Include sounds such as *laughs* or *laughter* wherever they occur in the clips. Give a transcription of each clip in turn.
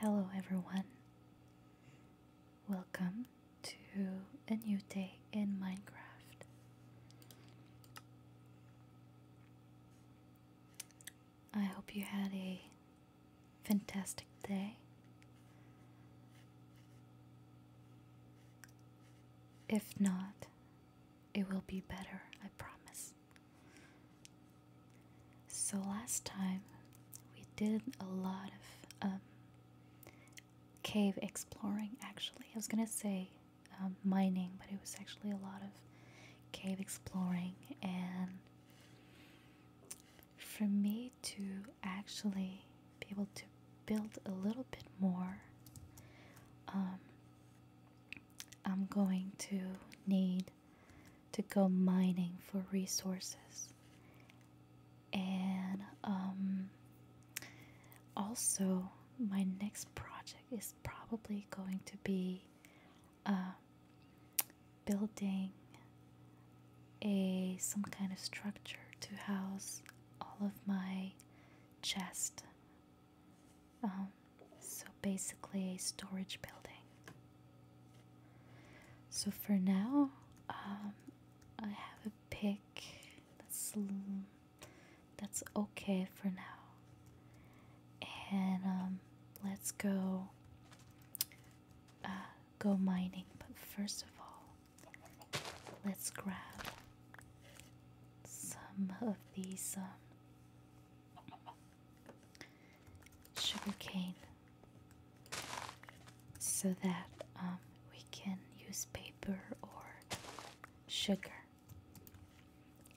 Hello, everyone. Welcome to a new day in Minecraft. I hope you had a fantastic day. If not, it will be better, I promise. So last time we did a lot of um, cave exploring actually. I was gonna say um, mining, but it was actually a lot of cave exploring. And for me to actually be able to build a little bit more, um, I'm going to need to go mining for resources. And um, also, my next project is probably going to be uh, building a some kind of structure to house all of my chest um, so basically a storage building. So for now, um, I have a pick that's mm, that's okay for now, and um, let's go uh, go mining. But first of all, let's grab some of these sugarcane so that um, we can use paper or sugar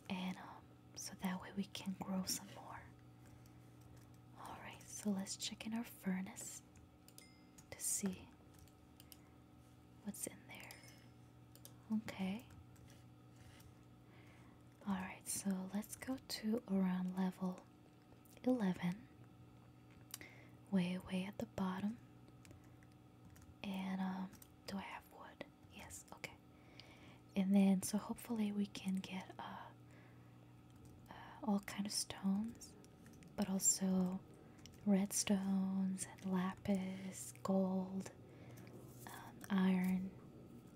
and um, so that way we can grow some more alright so let's check in our furnace to see what's in there okay Alright, so let's go to around level 11, way, way at the bottom. And um, do I have wood? Yes, okay. And then, so hopefully we can get uh, uh all kind of stones, but also redstones and lapis, gold, um, iron,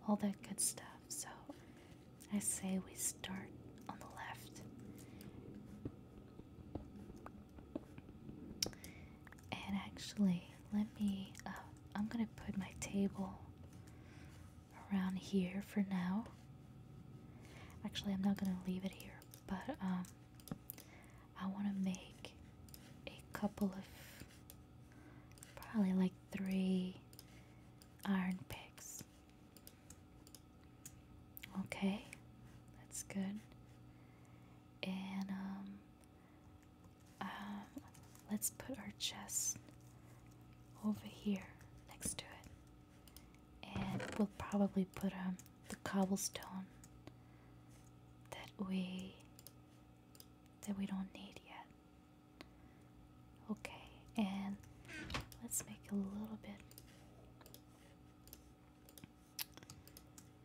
all that good stuff. So I say we start on the left. And actually, let me, uh, I'm gonna put my table around here for now. Actually, I'm not gonna leave it here, but um, I wanna make a couple of Probably like three iron picks. Okay, that's good. And um, um, let's put our chest over here next to it, and we'll probably put um the cobblestone that way that we don't need yet. Okay, and let's make a little bit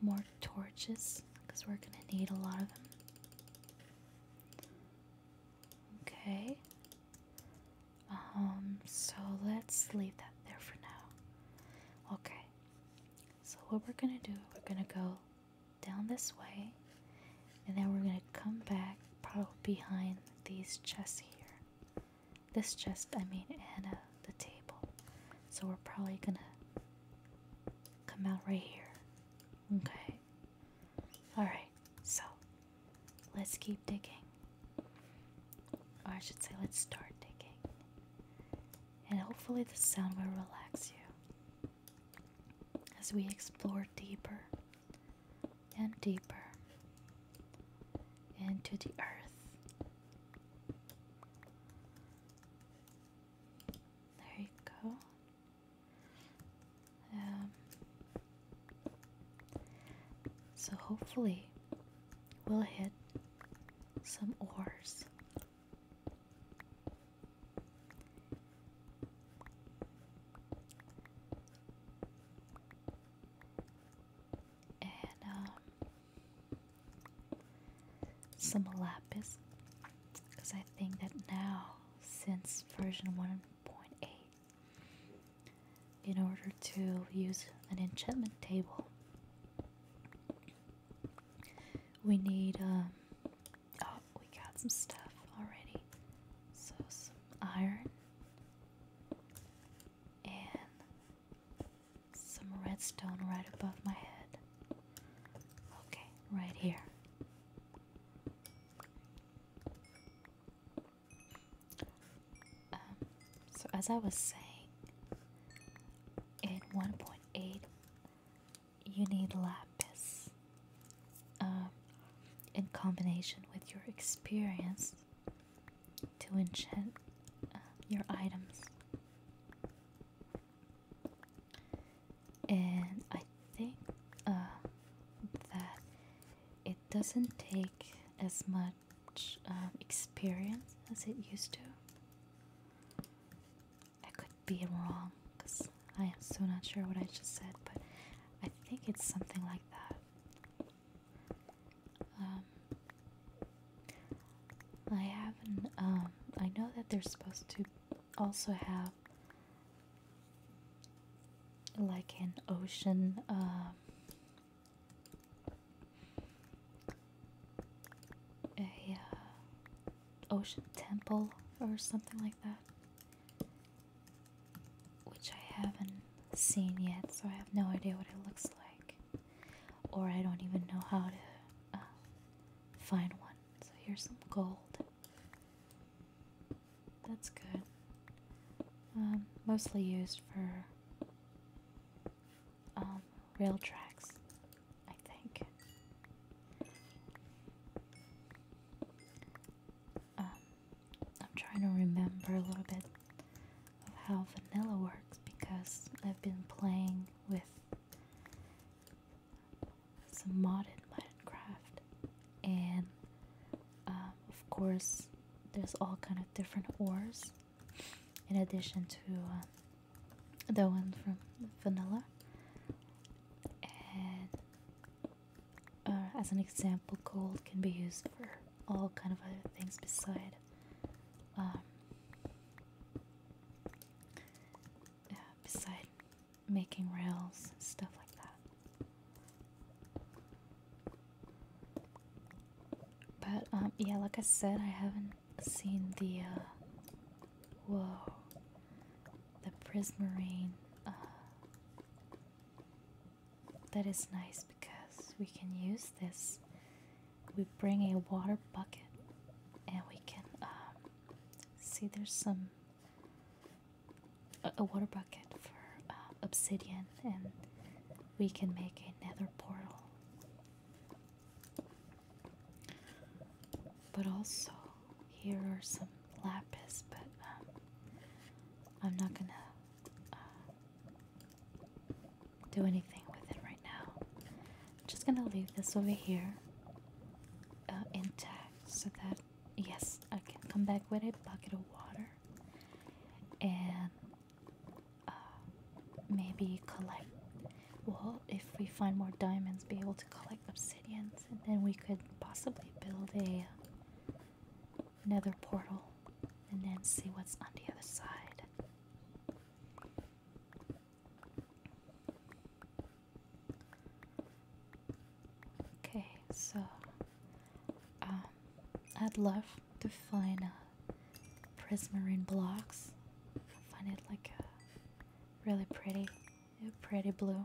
more torches because we're going to need a lot of them. Okay. Um, so let's leave that there for now. Okay. So what we're going to do, we're going to go down this way, and then we're gonna come back probably behind these chests here. This chest, I mean, and uh, the table. So we're probably gonna come out right here. Okay. Alright, so let's keep digging. Or I should say, let's start digging. And hopefully, the sound will relax you as we explore deeper and deeper into the earth. There you go. Um, so, hopefully, we'll hit some ores and um, some lapis, because I think that now, since version 1.8, in order to use an enchantment table, we need um, Oh, we got some stuff already. So, some iron and some redstone right above my head. Okay, right here. Um, so, as I was saying, in 1.8, you need lapis. Um, in combination with your experience to enchant uh, your items. And I think uh, that it doesn't take as much um, experience as it used to. Being wrong because I am so not sure what I just said, but I think it's something like that. Um, I haven't. Um, I know that they're supposed to also have like an ocean. Um, a uh, Ocean Temple or something like that, which I haven't seen yet, so I have no idea what it looks like, or I don't even know how to uh, find one. So here's some gold. That's good. Um, mostly used for um, rail tracks. I think. Um, I'm trying to remember a little bit of how vanilla works because I've been playing with some modded Minecraft, and um, of course, there's all kind of different ores in addition to uh, the one from vanilla and uh, as an example gold can be used for all kind of other things besides, um, uh, beside making rails and stuff like that but um yeah like I said I haven't seen the uh the prismarine. Uh, that is nice because we can use this. We bring a water bucket and we can um, see there's some a, water bucket for uh, obsidian and we can make a nether portal. But also, here are some lapis, but um, I'm not gonna uh, do anything with it right now. I'm just gonna leave this over here uh, intact so that, yes, I can come back with a bucket of water and uh, maybe collect. Well, if we find more diamonds, be able to collect obsidian and then we could possibly build a nether portal and then see what's on the other side. Okay, so um, I'd love to find uh, prismarine blocks. find it like uh, really pretty, pretty blue.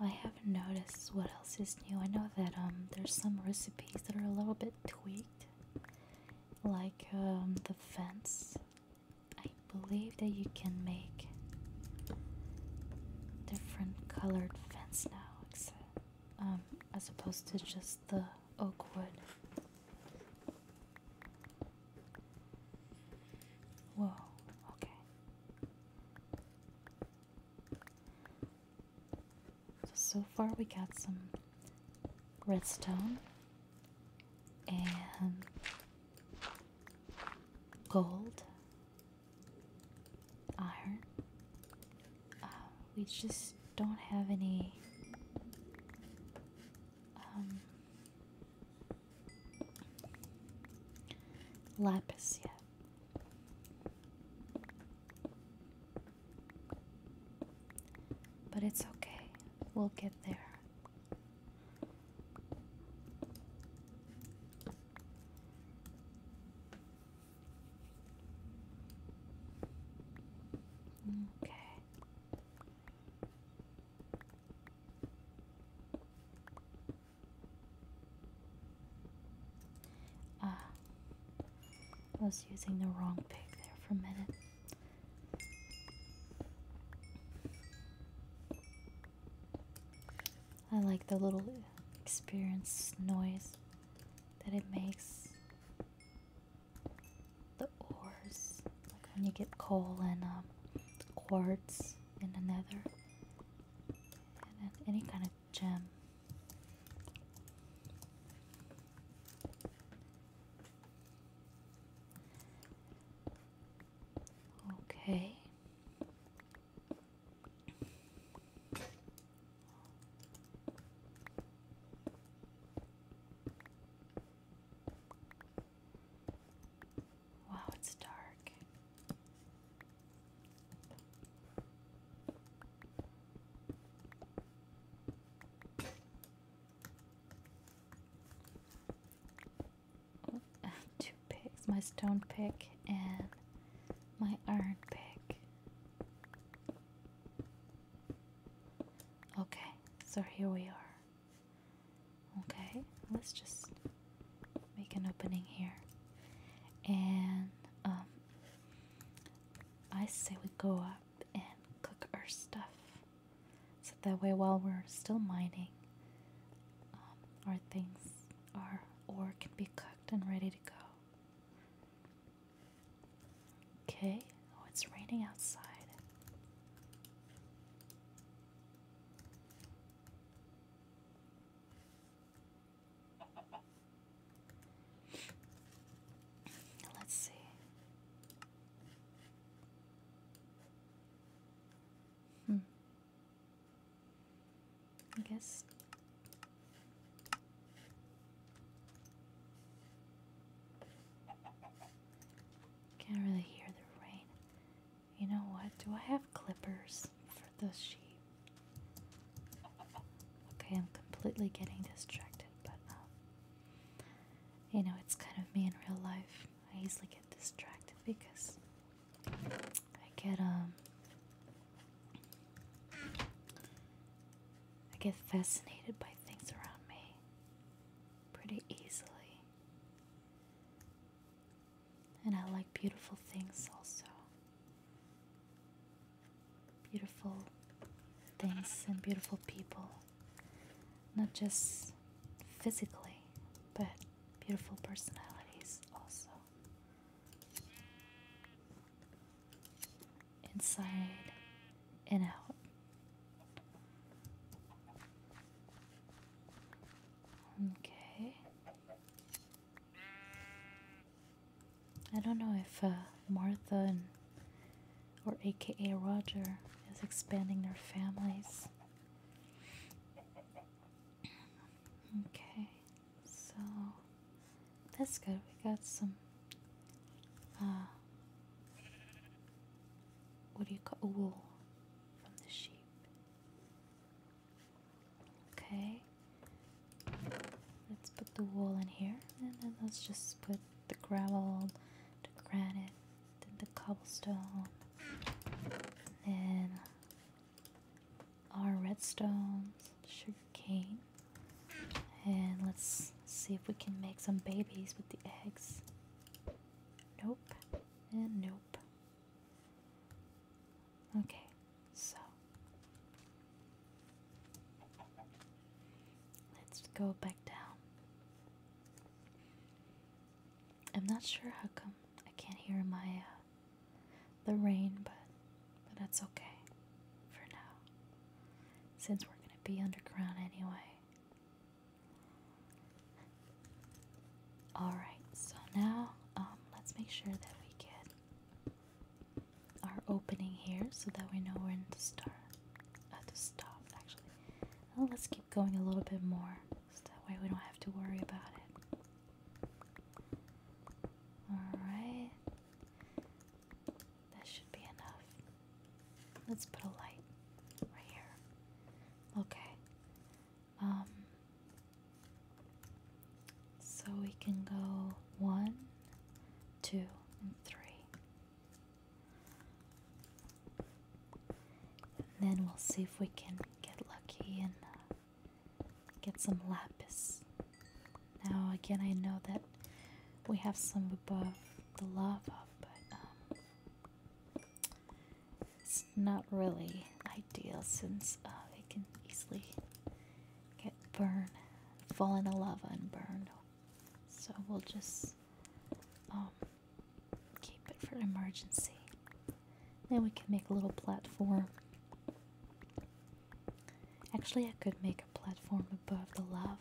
I haven't noticed what else is new. I know that um there's some recipes that are a little bit tweaked, like um, the fence. I believe that you can make different colored fence now, um, as opposed to just the oak wood. Whoa, okay. So, far we got some redstone and gold, iron. Uh, we just don't have any um, Lapis, yeah. But it's okay, we'll get there. Okay. Ah, I was using the wrong pick there for a minute. I like the little experience noise that it makes. The ores, like when you get coal and um, quartz in the nether, and any kind of gem. Okay. Wow, it's dark. Oh, *laughs* two picks my stone pick and my iron pick. Okay, so here we are. Okay, let's just make an opening here. And um, I say we go up and cook our stuff. So that way while we're still mining, um, our things our ore can be cooked and ready to go. Okay, oh it's raining outside. Let's see. Hmm. I guess. Can't really hear the rain. You know what? Do I have clippers for those sheep? Okay, I'm completely getting distracted, but um, you know, it's kind of me in real life. I easily get distracted because I get um I get fascinated by things around me pretty easily. And I like beautiful things also. Beautiful things and beautiful people. Not just physically, but beautiful personalities also. Inside and out. Okay. I don't know if uh, Martha and, or AKA Roger is expanding their families. Okay, so that's good. We got some. Uh, what do you call wool from the sheep? Okay. Let's put the wool in here and then let's just put the gravel, the granite, then the cobblestone, then our redstone, sugar cane. And let's see if we can make some babies with the eggs. Nope. And nope. Okay, so let's go back down. I'm not sure how come I can't hear my uh, the rain, but but that's okay for now, since we're gonna be underground anyway. Alright, so now um, let's make sure that we get our opening here so that we know when to start. Uh, to stop, actually. let's keep going a little bit more so that way we don't have to worry about it. Alright. That should be enough. Let's put a light right here. Okay. Um, so we can go one, two, and three. then we'll see if we can get lucky and uh, get some lapis. Now, again, I know that we have some above the lava, but um, it's not really ideal since uh, can easily get burned, fall in the lava and burn. So we'll just um, keep it for emergency. Then we can make a little platform. Actually, I could make a platform above the lava.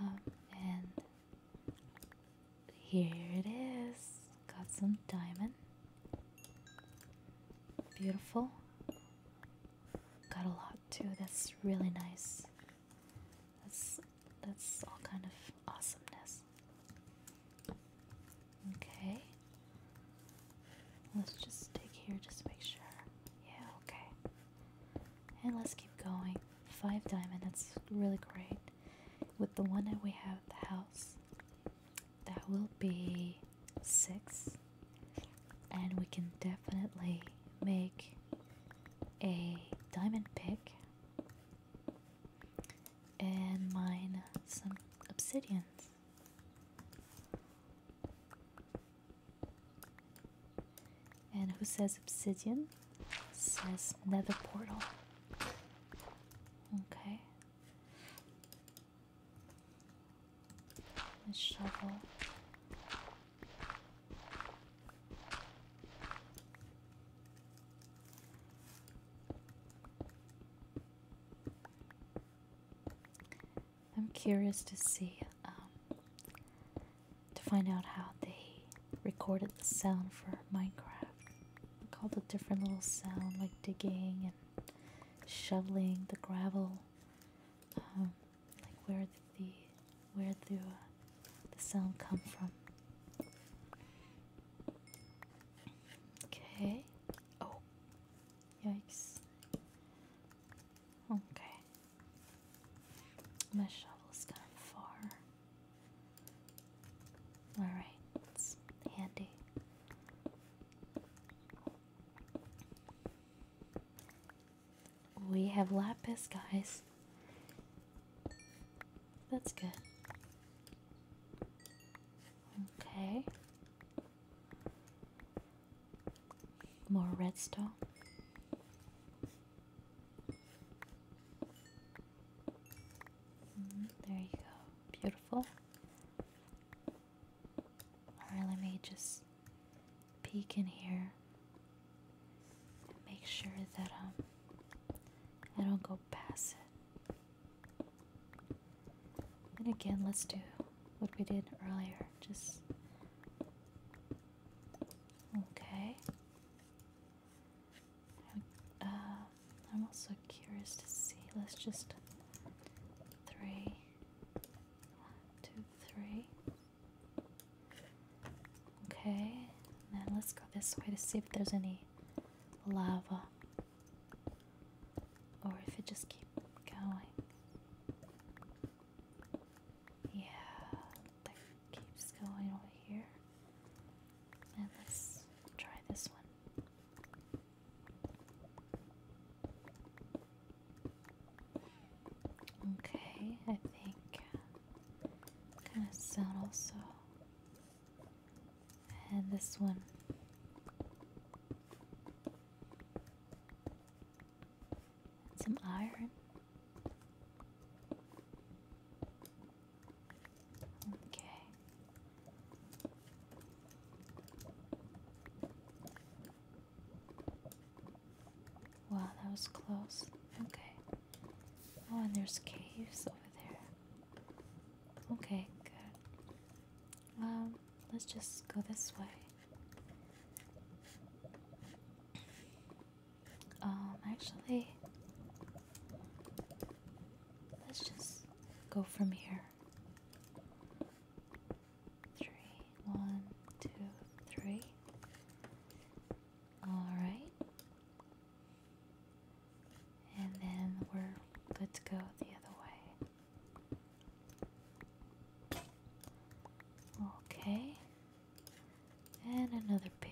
Um, and here it is. Got some diamond. Beautiful. Got a lot too. That's really nice. That's that's all kind of awesomeness. Okay. Let's just stick here just to make sure. Yeah, okay. And let's keep going. Five diamond, that's really great. With the one that we have at the house, that will be six, and we can definitely make a diamond pick and mine some obsidians. And who says obsidian? Says nether portal. Okay. A shovel. I'm curious to see, um, to find out how they recorded the sound for Minecraft. Called all the different little sound, like digging and shoveling the gravel, um, like where the where the uh, the sound come from. Okay. Oh, yikes. Okay. My shovel's gone far. Alright, it's handy. We have lapis, guys. That's good. Okay. More redstone. Mm, there you go. Beautiful. Alright, let me just peek in here. Make sure that um, I don't go past it. And again, let's do what we did earlier. Just okay. Uh, I'm also curious to see. Let's just three, one, two, three. Okay, now let's go this way to see if there's any lava or if it just keeps going. Yeah, that keeps going over here. And let's try this one. Okay, I think kind of sound also. And this one. And some iron. Okay. Wow, that was close. Okay. Oh, and there's caves over there. Okay, good. Um, let's just go this way. Um, actually, let's just go from here three, one, two, three. Alright. And then we're good to go the other way. Okay. And another pick.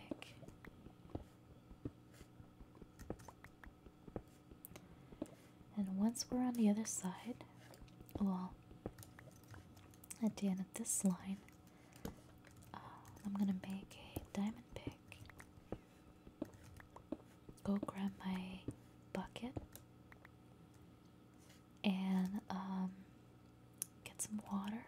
And once we're on the other side, well, at the end of this line, uh, I'm gonna make a diamond pick. Go grab my bucket and um, get some water,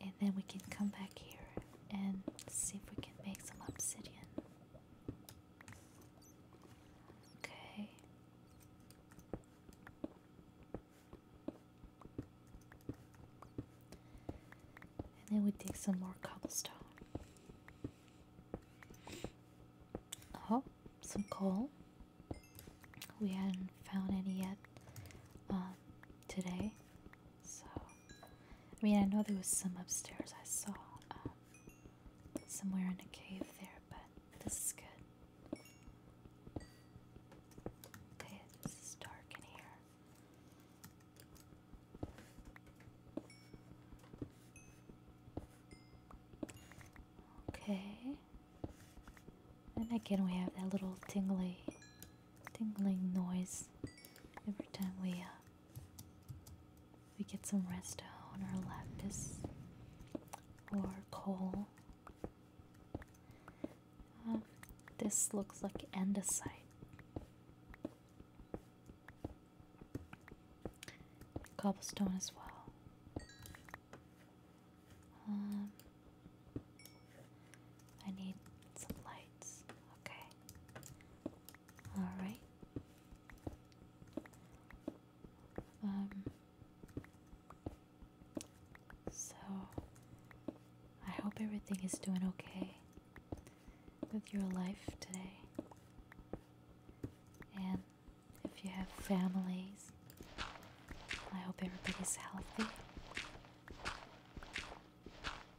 and then we can come back here and see if we can make some obsidian. Okay. And then we dig some more cobblestone. Oh, some coal. We hadn't found any yet um, today, so I mean, I know there was some upstairs I saw um, somewhere in a cave there, but this is good. Okay, this is dark in here. Okay. And again, we have that little tingly, tingling noise every time we uh, we get some resto on our lactus or coal. Uh, this looks like andesite. Cobblestone as well. Um, I need some lights. Okay. All right. Um. So, I hope everything is doing okay with your life today. And if you have families, I hope everybody's healthy.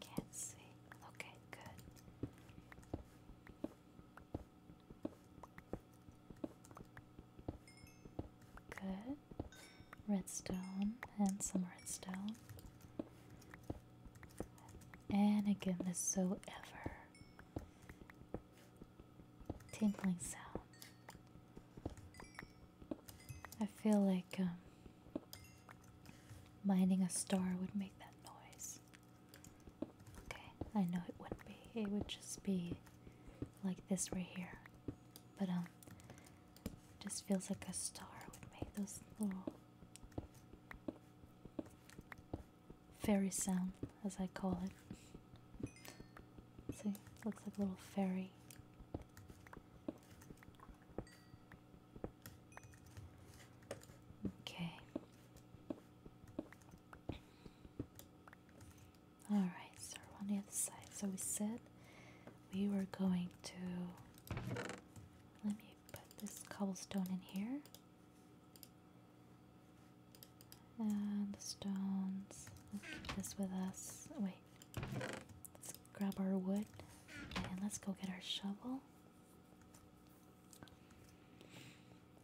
can't see. Okay, good. Good. Redstone and some redstone. And again, this so ever tinkling sound. I feel like um, mining a star would make that noise. Okay, I know it wouldn't be. It would just be like this right here. But um, just feels like a star would make those little fairy sound, as I call it. See, looks like a little fairy. Okay. All right, so we're on the other side. So we said we were going to. Let me put this cobblestone in here. And the stones. Let's keep this with us. Wait. Let's grab our wood. And let's go get our shovel.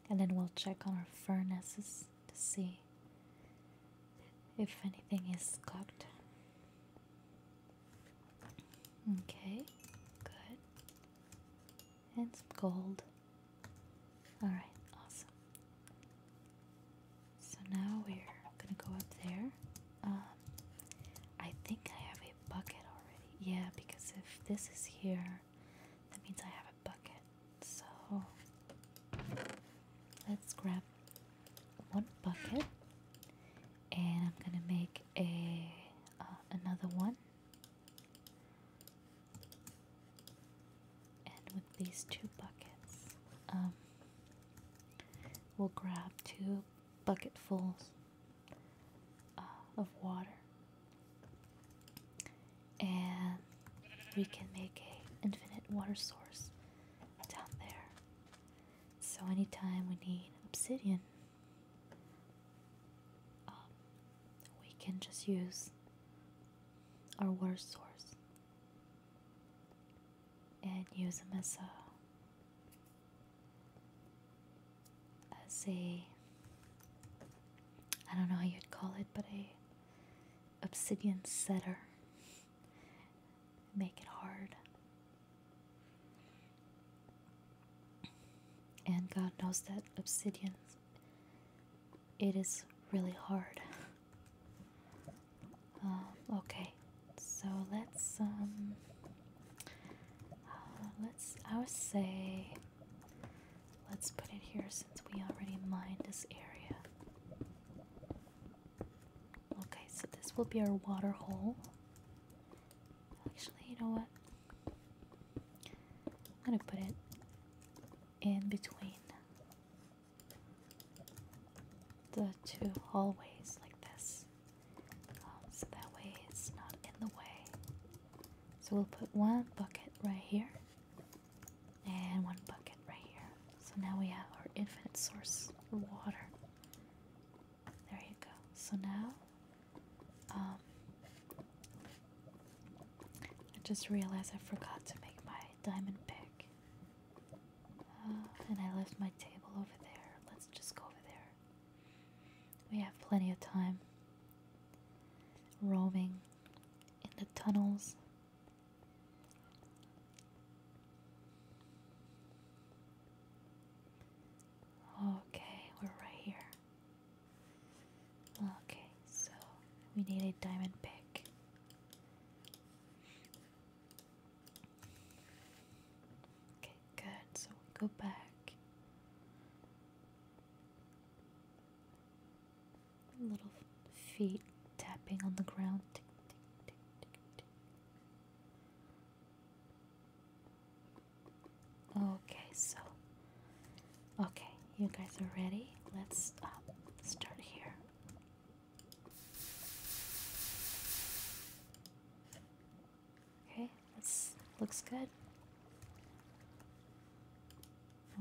And then we'll check on our furnaces to see if anything is cooked. Okay, good and some gold. Alright, awesome. So now we're gonna go up there. Um, I think I have a bucket already. Yeah, because if this is here, that means I have a bucket. So let's grab one bucket and I'm gonna make a uh, another one and with these two buckets, um, we'll grab two bucketfuls uh, of water, and we can make a infinite water source down there. So anytime we need obsidian, um, we can just use our water source and use them as a as a I don't know how you'd call it but a obsidian setter make it hard and God knows that obsidian it is really hard. Um, okay, so let's um, uh, let's I would say let's put it here since we already mined this area. Okay, so this will be our water hole. Actually, you know what? I'm gonna put it in between the two hallways like this. Um, so that way it's not in the way. So we'll put one bucket right here and one bucket right here. So now we have our infinite source of water. There you go. So now um, I just realized I forgot to make my diamond pick. Uh, and I left my table over there. Let's just go over there. We have plenty of time roaming in the tunnels. Okay, we're right here. Okay, so we need a diamond pick. Okay, good. So we go back. Little feet tapping on the ground. Tick, tick, tick, tick, tick. Okay, so okay, you guys are ready. Let's um, start here. Okay, this looks good.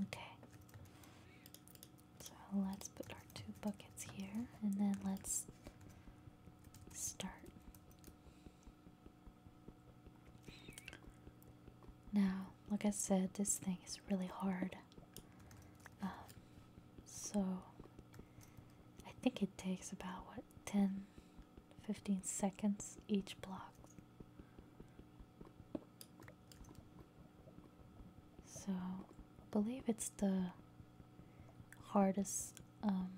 Okay, so let's put our two buckets here, and then let's start. Now, like I said, this thing is really hard. Um, so, I think it takes about what 10 15 seconds each block. So, I believe it's the hardest um,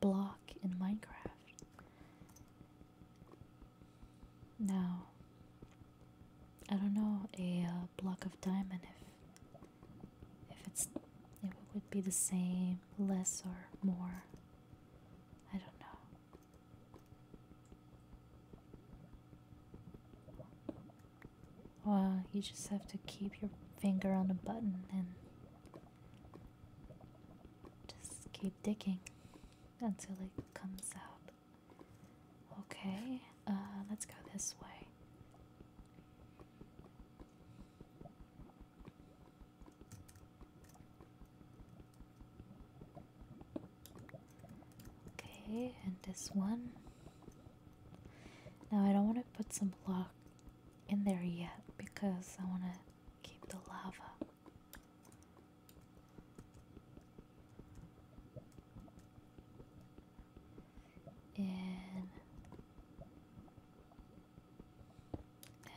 block in Minecraft. Now, I don't know a uh, block of diamond if if it's it would be the same, less or more. I don't know. Well, you just have to keep your finger on the button and just keep digging until like comes out. Okay, uh, let's go this way. Okay, and this one. Now I don't want to put some block in there yet because I want to keep the lava. And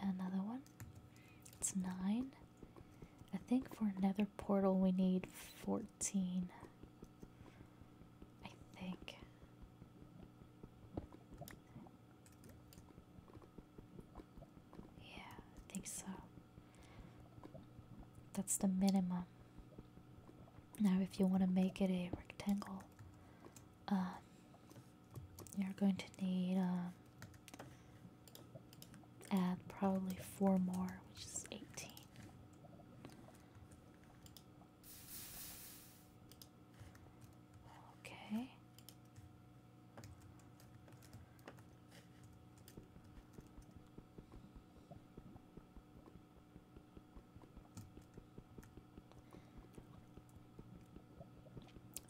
another one. It's nine. I think for another portal we need 14. I think. Yeah, I think so. That's the minimum. Now, if you want to make it a rectangle, um, you're going to need um, add probably four more, which is 18. Okay,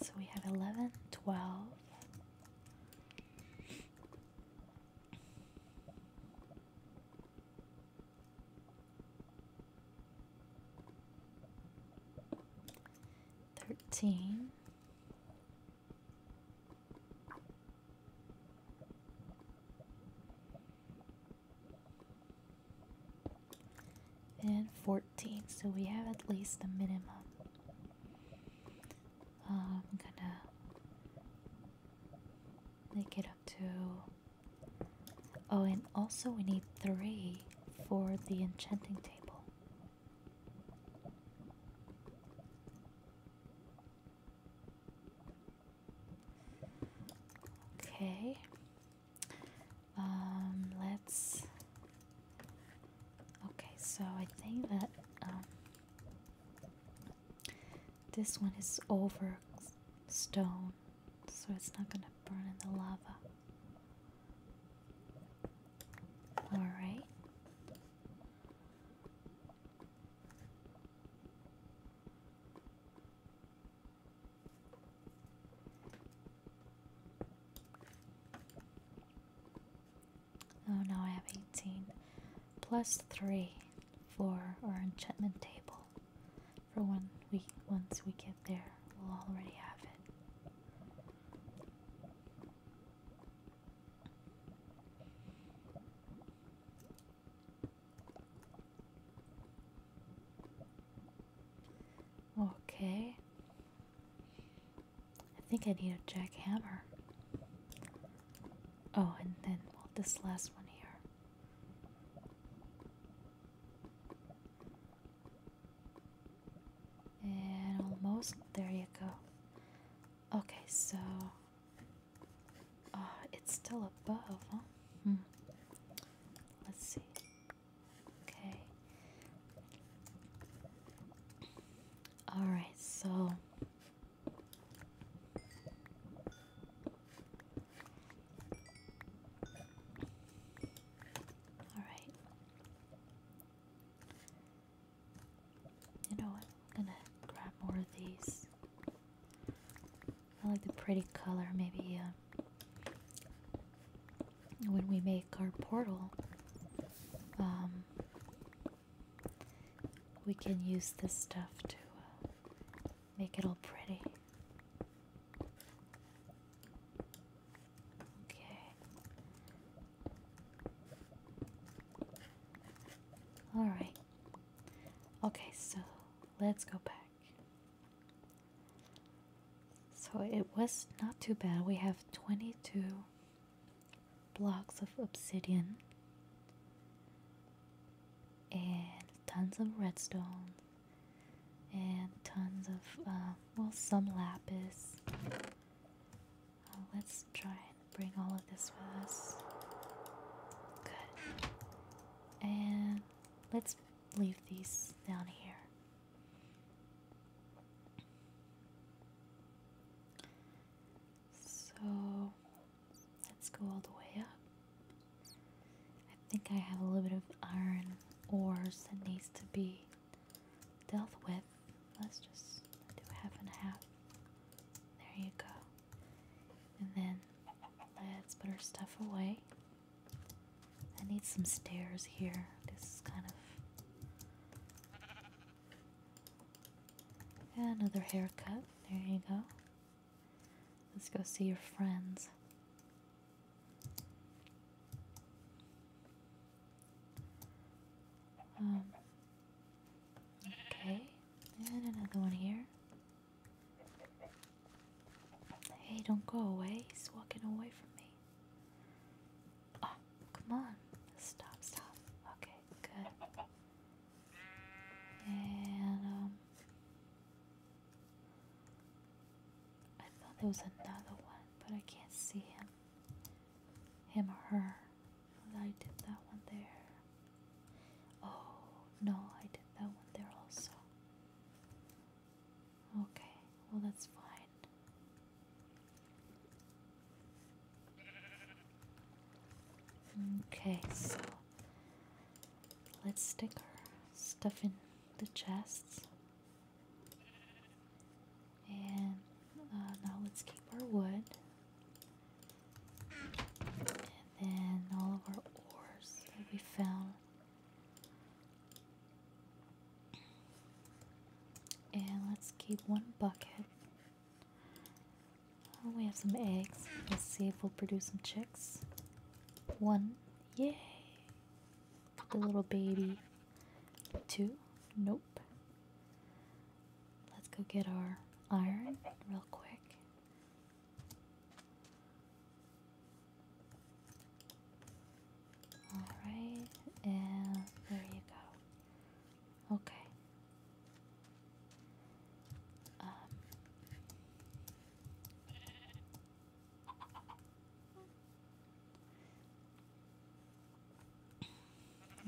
so we have 11, 12. Thirteen, and 14, so we have at least the minimum. Uh, I'm gonna make it up to. Oh, and also we need three for the enchanting table. Okay. Um, let's. Okay, so I think that um, this one is over stone, so it's not gonna burn in the lava. All right. Oh, now I have 18 plus 3 for our enchantment table. For one week, once we get there, we'll already have it. Okay. I think I need a jackhammer. Oh, and then this last one here and almost there you go okay so oh, it's still above huh hmm. let's see okay all right so all right you know what? I'm gonna grab more of these. I like the pretty color. Maybe uh, when we make our portal, um, we can use this stuff to uh, make it all pretty. Okay. Alright. Okay, so let's go back. So it was not too bad. We have 22 blocks of obsidian and tons of redstone and tons of, uh, well, some lapis let's try and bring all of this with us. Good. And let's leave these down here. So let's go all the way up. I think I have a little bit of iron ores that needs to be dealt with. Let's just do half and half. There you go. And then let's put our stuff away. I need some stairs here. This is kind of. another haircut. There you go. Let's go see your friends. Um, okay, and another one here. Hey, don't go away. He's walking away from me. Oh, come on. Stop, stop. Okay, good. And, um, I thought there was another one, but I can't see him him or her. I did that one there. Oh, no, I did that one there also. Okay, well, that's fine. Okay, so let's stick our stuff in the chests. And uh, now let's keep our wood. And then all of our ores that we found. And let's keep one bucket. Oh, we have some eggs. Let's see if we'll produce some chicks. One. Yay! The little baby. Two. Nope. Let's go get our iron real quick. Alright, and there you go. Okay. Um.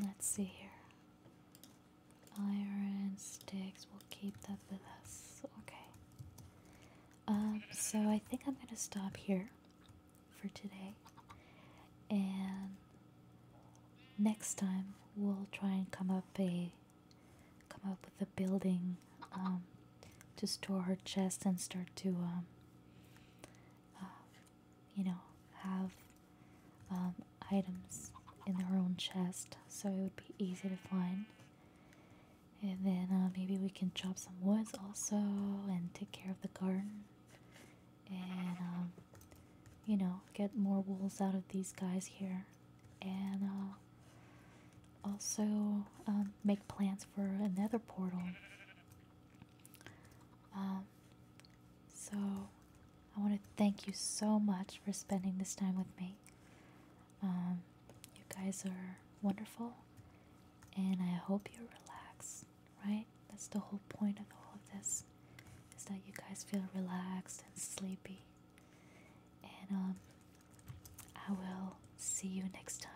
Let's see here. Iron sticks, we'll keep that with us. Okay. Um, so I think I'm gonna stop here for today. And next time we'll try and come up a come up with a building um, to store her chest and start to um, uh, you know, have um, items in their own chest, so it would be easy to find. And then uh, maybe we can chop some woods also and take care of the garden. And, um, you know, get more wools out of these guys here. And uh, also um, make plans for another portal. Um, so I want to thank you so much for spending this time with me. Um, you guys are wonderful, and I hope you're relaxed, right? That's the whole point of all of this, is that you guys feel relaxed and sleepy. And um, I will see you next time.